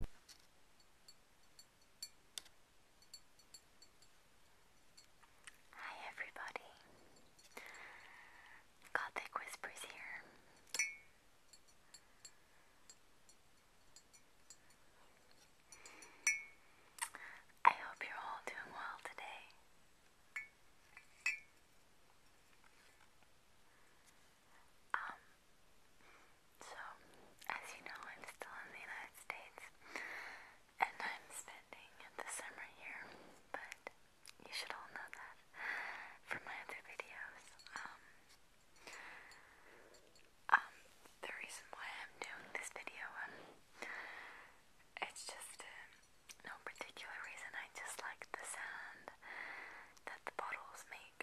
Hi everybody. Gothic Whispers here. I hope you're all doing well today. Um, so, as you know, I'm still in the United States and I'm spending the summer here, but you should all know that from my other videos. Um, um, the reason why I'm doing this video, um, it's just uh, no particular reason, I just like the sound that the bottles make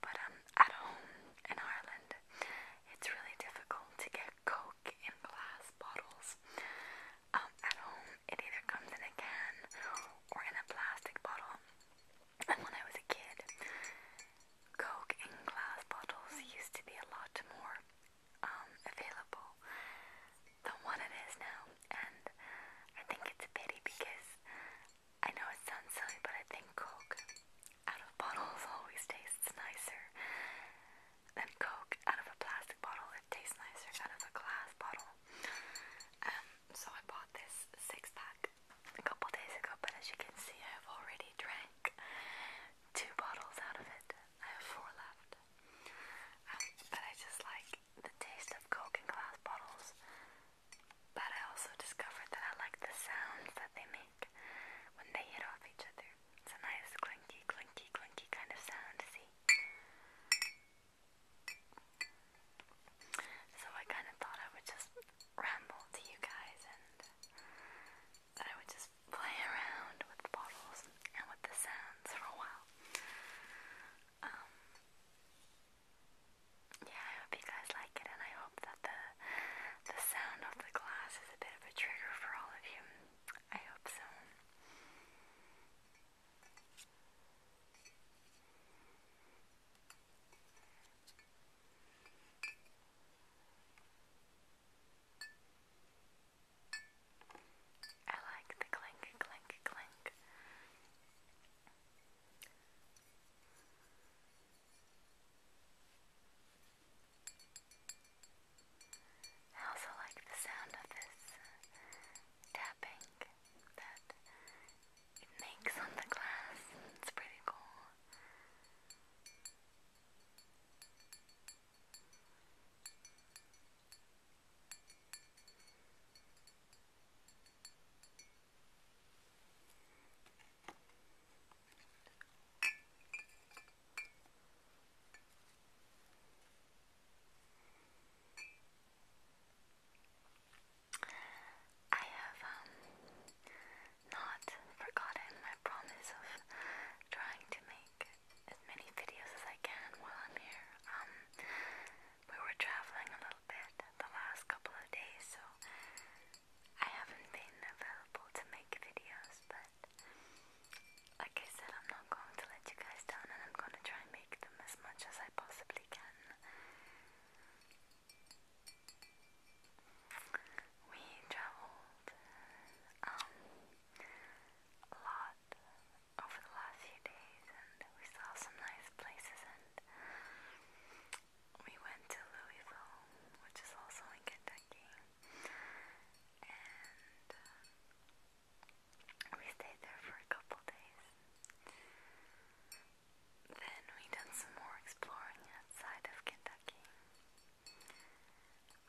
but um, at home in Ireland, it's really difficult to get Coke in glass bottles. Um, at home, it either comes in a can or in a plastic bottle. And when I was a kid, Coke in glass bottles used to be a lot more um, available than what it is now. And I think it's a pity because I know it sounds silly, but I think Coke out of bottles always tastes nicer than Coke out of a plastic bottle. It tastes nicer out of a glass bottle. Um, so I bought this six pack a couple days ago, but as you can see, I've already drank two bottles out of it. I have four left. Um, but I just like the taste of Coke in glass bottles but I also discovered that I like the sounds that they make when they hit off each other. It's a nice clinky, clinky, clinky kind of sound, see? So I kind of thought I would just ramble to you guys and that I would just play around with bottles and with the sounds for a while. Um, yeah, I hope you guys like it, and I hope that the the sound of the glass is a bit of a trigger for all of you. I hope so. I like the clink, clink, clink. I also like the sound of this tapping that it makes on the glass. It's pretty cool. I have um, not forgotten my promise of trying to make as many videos as I can while I'm here. Um, we were traveling a little bit the last couple of days, so I haven't been available to make videos, but like I said, I'm not going to let you guys down and I'm going to try and make them as much as I possibly can. We traveled um, a lot over the last few days and we saw some nice places we went to Louisville, which is also in Kentucky, and um, we stayed there for a couple days. Then we done some more exploring outside of Kentucky.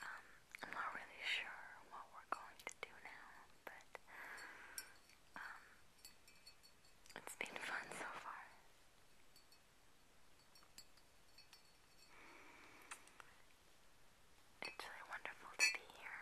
Um, I'm not really sure what we're going to do now, but um, it's been fun so far. It's really wonderful to be here.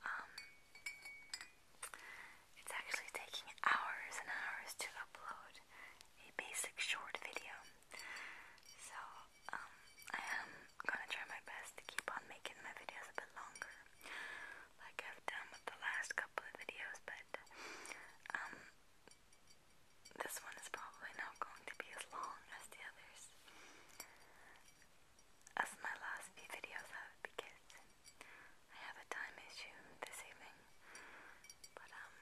Um, it's actually taking hours and hours to upload a basic short video. So, um, I am gonna try my best to keep on making my videos a bit longer, like I've done with the last couple of videos, but, um, this one is probably not going to be as long as the others as my last few videos have because I have a time issue this evening. But, um,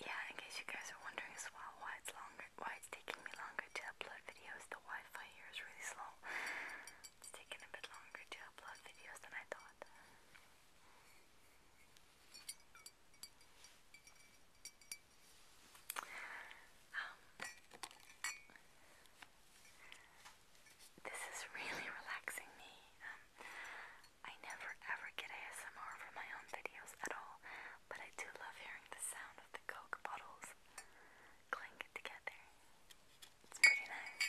yeah, in case you guys are wondering as well why it's longer, why it's taking me longer to upload videos, the Wi Fi here is really slow. It's taking a bit longer to upload videos than I thought. Um, this is really relaxing me. Um, I never ever get ASMR for my own videos at all, but I do love hearing the sound of the Coke bottles clink together. It's pretty nice.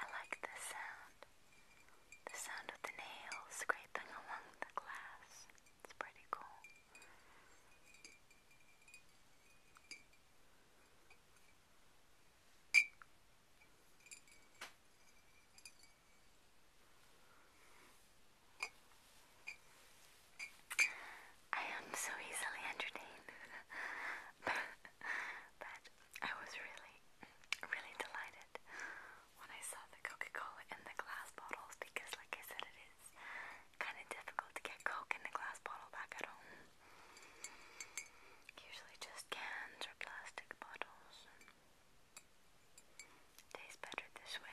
I like this sound. The sound of the nails scraping along the glass. It's pretty cool. I am so easily entertained. but, I was really, really delighted when I saw the Coca Cola in the glass bottles because, like I said, it is kind of difficult to get Coke in a glass bottle back at home. Usually just cans or plastic bottles. Tastes better this way.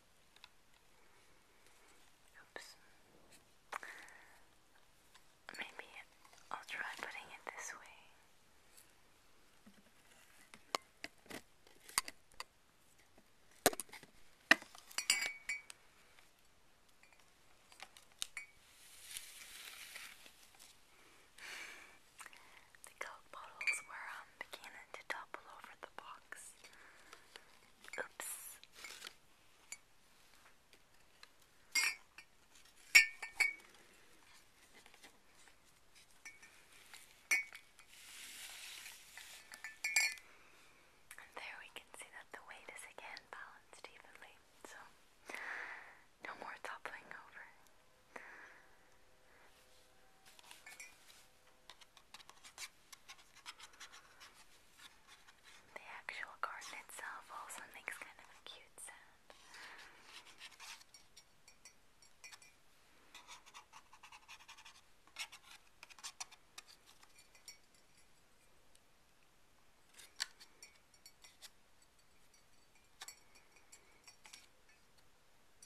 Oops. Maybe I'll try putting it this way. the Coke bottles were um, began to topple over the box. Oops. And there we can see that the weight is again balanced evenly, so no more toppling over. The actual garden itself also makes kind of a cute sound.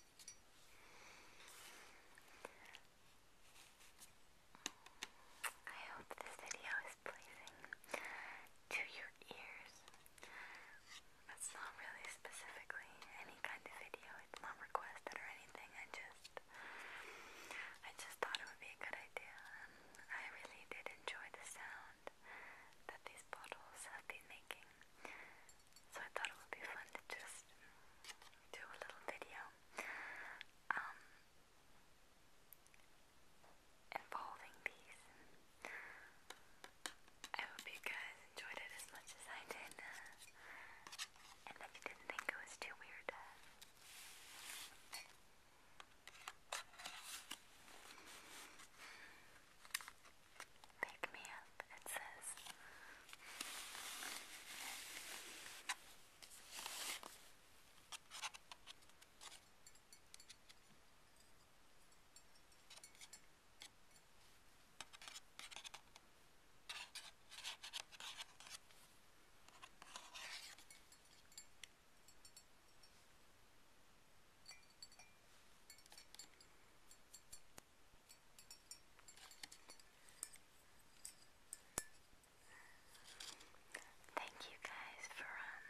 I hope this video is pleasing to your ears. It's not really specifically any kind of video. It's not requested or anything. I just I just thought it would be a good idea. I really did enjoy the sound that these bottles have been making. So I thought it would be fun to just do a little video um, involving these. I hope you guys enjoyed it as much as I did, uh, and that you didn't think it was too weird. Pick uh, me up month, it says. Thank you guys for um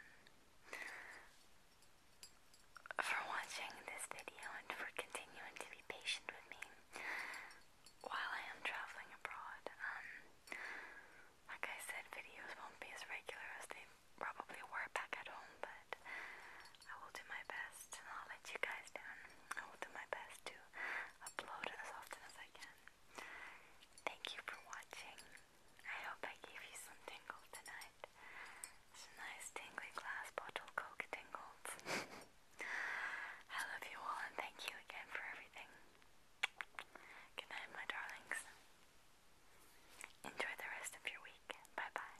for watching this video and for continuing to be patient with me while I am traveling abroad. Um like I said videos won't be as regular as they probably were back at home but I will do my best I'll let you guys down. I will do my best to upload as often as I can. Thank you for watching. I hope I gave you some tingles tonight. It's a nice tingly glass bottle coke tingles. I love you all and thank you again for everything. Good my darlings. Enjoy the rest of your week. Bye bye.